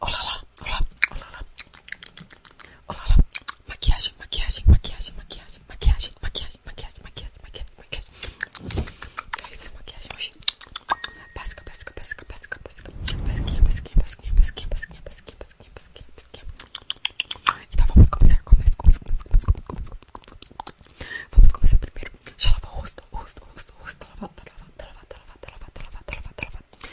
Olá lá, olá, olá Olá lá. Maquiagem, maquiagem, maquiagem, maquiagem, maquiagem, maquiagem, maquiagem, maquiagem, maquiagem, maquiagem. Eu fiz a maquiagem hoje. Basca, basca, basca, basca, basca. Basquinha, basquinha, basquinha, basquinha, basquinha, basquinha, basquinha, basquinha, basquinha. Então vamos começar, começa, começa, começa, começa, começa. Vamos começar primeiro. Já lavou o rosto, o rosto, o rosto, o rosto. Tá lavado, tá lavado, tá lavado, tá lavado, tá lavado, tá tá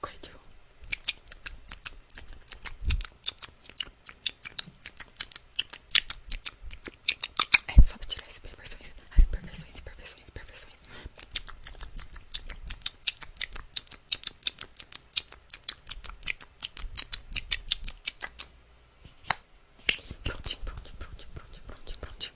Coitinho. É só pra tirar as imperfeições, as imperfeições, imperfeições, imperfeições. Prontinho, prontinho, prontinho, prontinho, prontinho, prontinho.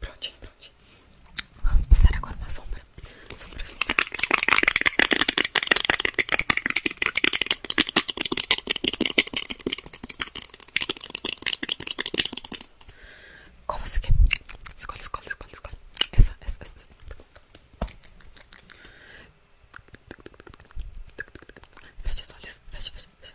prote prote Vamos passar agora uma sombra. Sombra, sombra. Qual você quer? Escolhe, escolhe, escolhe, escolhe. Essa, essa, essa. essa. Fecha os olhos, fecha, fecha, fecha.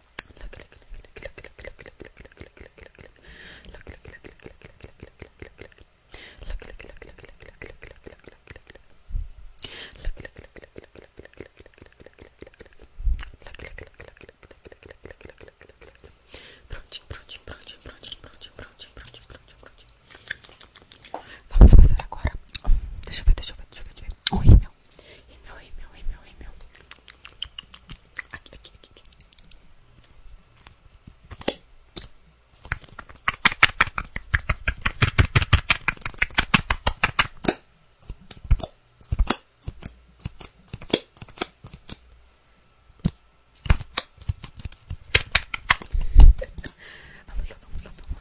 Prontinho, prontinho, prontinho, prontinho, prontinho, prontinho, prontinho, prontinho, prontinho. Vamos passar agora. Deixa eu ver, deixa eu ver, deixa eu ver. Deixa eu ver. Oi, meu. Rímel, rímel, rímel, rímel. Aqui, aqui, aqui, aqui. vamos lá, vamos lá, vamos lá.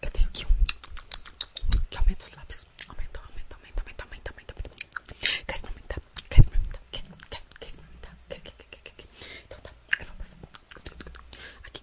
Eu tenho aqui um que aumenta os lábios. Aumenta, aumenta, aumenta, aumenta, aumenta, aumenta. Quer experimentar? Quer experimentar? Quer, quer, quer experimentar? Quer, quer, quer, quer, quer. Então tá, eu vou passar aqui.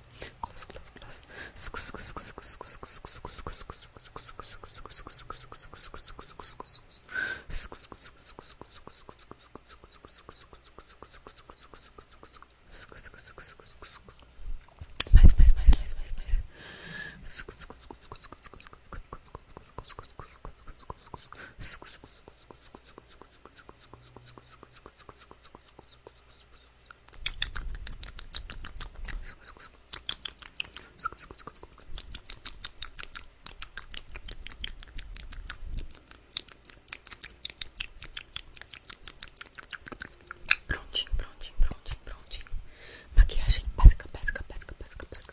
Close, close, close. Mais, mais, mais, mais, mais, mais. Prontinho, prontinho, prontinho, prontinho. Maquiagem básica, básica, básica, básica, básica.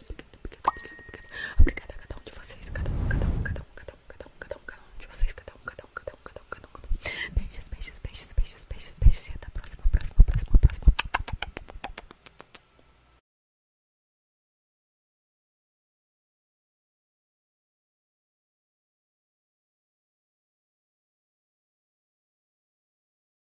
Obrigada a cada um de vocês, cada um, cada um, cada um, cada um, cada um, cada um, cada um de vocês, cada um, cada um, cada um, cada um, cada um. Beijos, beijos, beijos, beijos, beijos, beijos. E até a próxima, próxima, próxima, próxima.